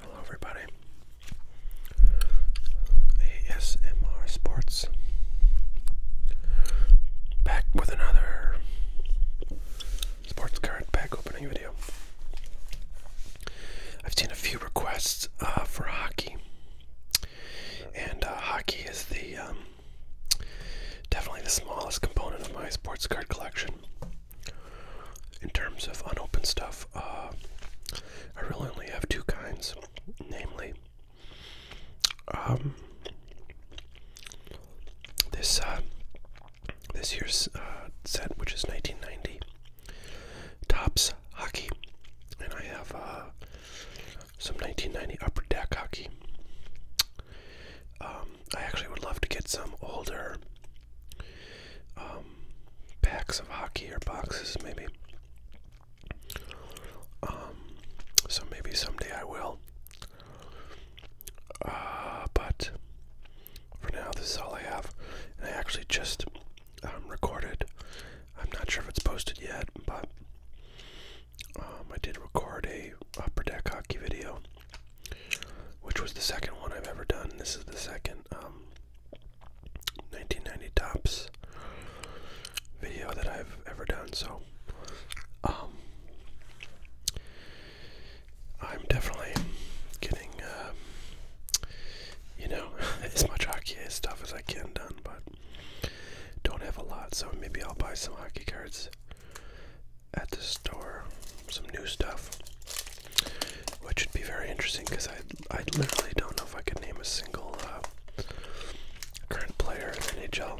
Hello, everybody. ASMR Sports back with another sports card pack opening video. I've seen a few requests uh, for hockey, and uh, hockey is the um, Definitely the smallest component of my sports card collection. In terms of unopened stuff, uh, I really only have two kinds, namely um, this uh, this year's uh, set, which is 1990 tops hockey, and I have uh, some 1990 upper deck hockey. Um, I actually would love to get some older um, packs of hockey or boxes, maybe. Um, so maybe someday I will. Uh, but for now, this is all I have. I actually just recorded. I'm not sure if it's posted yet, but um, I did record a upper deck hockey video, which was the second one I've ever done. This is the second 1990 um, tops video that I've ever done. So, um, I'm definitely getting, uh, you know, as much hockey stuff as I can done, but don't have a lot, so maybe I'll buy some hockey cards at the store. Some new stuff, which would be very interesting because I I literally don't know if I could name a single uh, current player in NHL.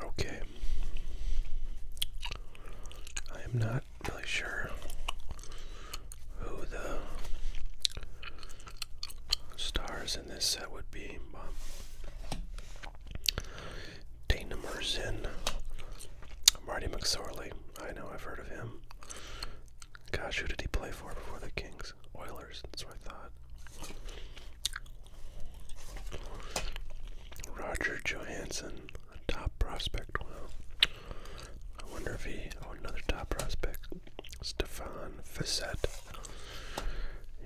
Okay. I am not really sure who the stars in this set would be, but Dana Merzin, Marty McSorley. I know I've heard of him. Gosh, who did he play for before the Kings? Oilers, that's what I thought. Roger Johansson, a top prospect. Wow. I wonder if he, oh, another top prospect. Stefan Facette.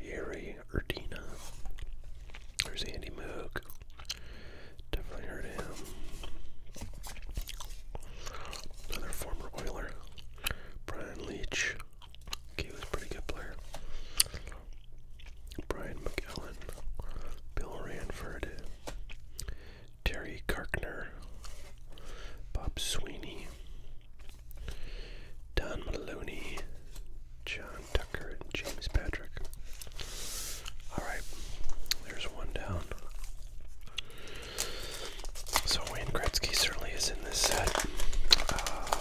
Yuri Erdina. There's Andy Moog. Definitely heard of him. Another former Oiler. Brian Leach. he was a pretty good player. Brian McKellen, Bill Ranford, Terry Karkner, Bob Sweeney, Don Maloney, John Tucker, and James Patrick. Alright, there's one down. So Wayne Gretzky certainly is in this set. Uh,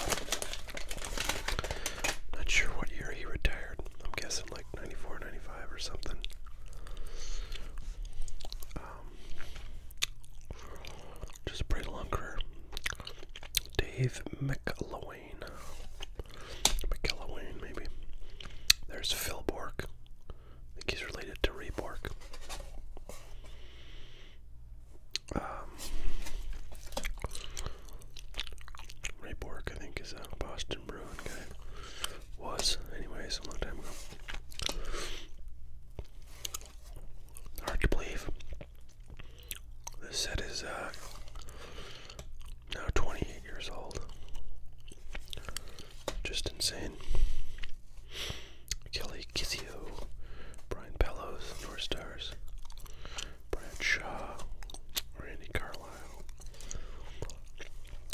not sure what year he retired. I'm guessing like 94, 95 or something. Um, just a pretty long Dave McElwain. McElwain, maybe. There's Phil Bork. I think he's related to Ray um, Ray Bork, I think, is a Boston Bruin guy. Was, anyways, a long time ago. Hard to believe. This set is uh, now 28 years old. Just insane. Kelly Kissy Brian Bellows, North Stars, Bradshaw, Randy Carlisle,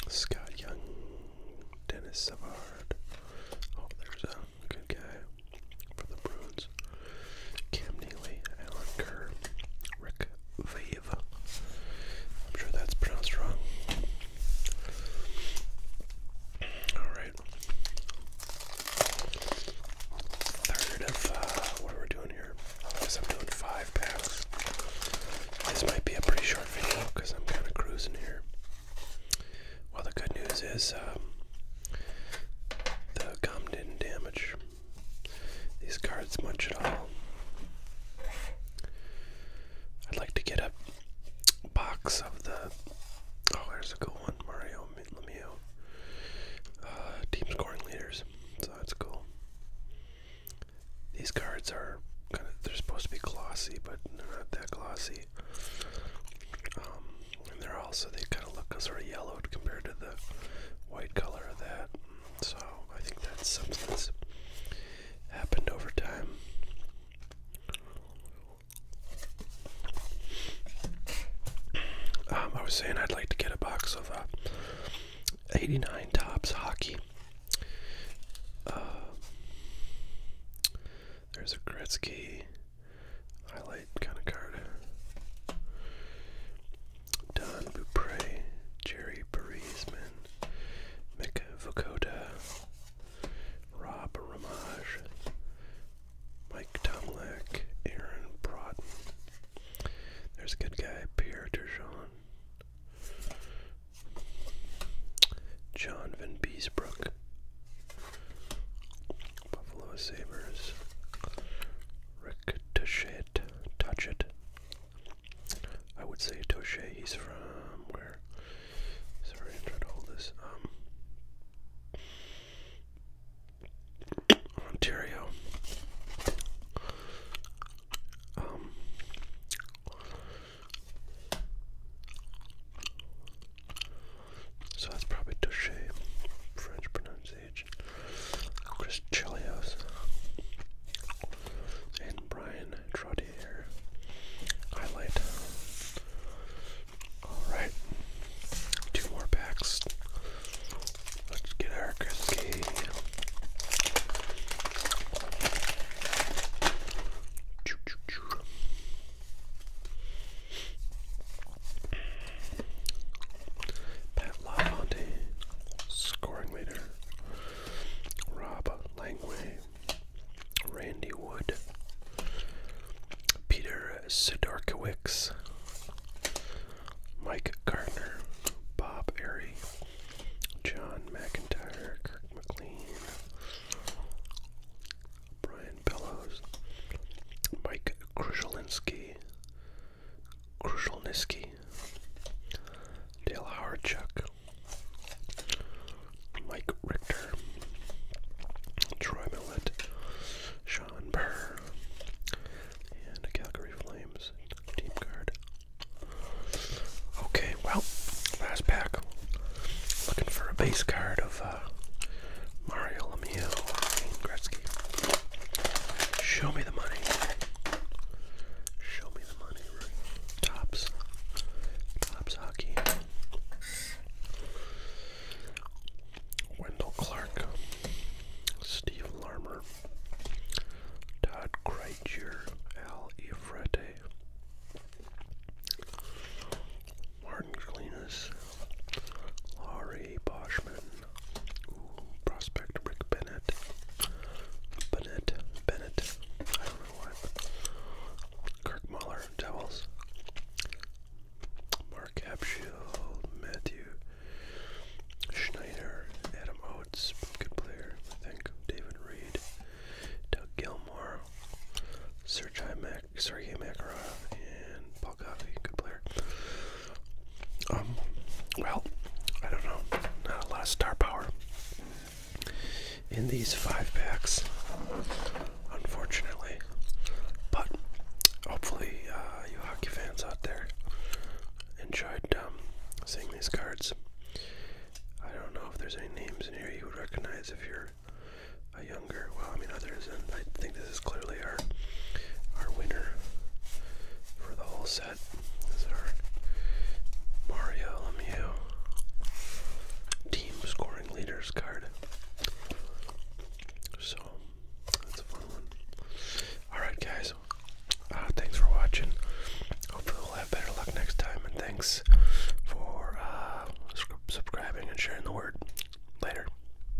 Scott Young, Dennis Savard. Oh, there's a good guy for the Bruins. Cam Neely, Alan Kerr, Rick Vave. I'm sure that's pronounced wrong. All right. Third of uh, what are we doing here? I guess I'm doing five packs. This might be a pretty short video because I'm kind of cruising here. Well, the good news is um, the gum didn't damage these cards much at all. I'd like to get up box of the. Oh, there's a cool one, Mario Lemieux. Uh, team scoring leaders, so that's cool. These cards are kind of they're supposed to be glossy, but they're not that glossy. Um, and they're also they kind of look sort of yellowed compared to the white color of that. So I think that substance happened over time. Um, I was saying I'd like to get a box of uh, 89 Tops Hockey. Um, there's a Gretzky highlight kind of card. Don Bupre, Jerry Parisman, Mika Vokoda, Rob Ramage, Mike Tomlak, Aaron Broughton. There's a good guy, Pierre Turgeon. John Van Beesbrook. Buffalo Sabres. Rick Touchet. Touch it. I would say Touchet. He's from where? Sorry, I'm trying to hold this. Um, Ontario. Um, so that's probably Duché, French pronunciation. Chris Chelios and Brian Trottier highlight. Alright, two more packs. Let's get our Grisky. Pat LaFontaine, scoring leader. Rob Langway, Randy Wood, Peter Sidorkowicz, Mike Gardner, Bob Airy, John McIntyre, Kirk McLean, Brian Bellows, Mike Krushelinski, Krushelniski, Dale Howard-Chuck, Mike Richter, Troy Millett, Sean Burr, and a Calgary Flames team card. Okay, well, last pack. Looking for a base card of uh, Mario Lemieux, Gretzky. Show me the money. Show me the money. Tops. Tops hockey. Wendell Clark. Steve Larmer. Todd Kreitcher. Al Ifrete. Martin Glenas. Laurie Boschman prospect Rick Bennett. Bennett. Bennett. I don't Kirk Muller, Devils. Mark Capshield, Matthew Schneider, Adam Oates, good player, I think. David Reed, Doug Gilmore, Sergei Makarov, and good player. Um, well, I don't know, not a lot of star power in these five packs, unfortunately. But hopefully, uh, you hockey fans out there enjoyed um, seeing these cards. I don't know if there's any names in here you would recognize if you're a younger. Well, I mean, others, and I think this this is clearly our our winner for the whole set. This is our Mario Lemieux team scoring leaders card. So that's a fun one. Alright guys. Uh, thanks for watching. Hopefully we'll have better luck next time and thanks for uh, subscribing and sharing the word. Later.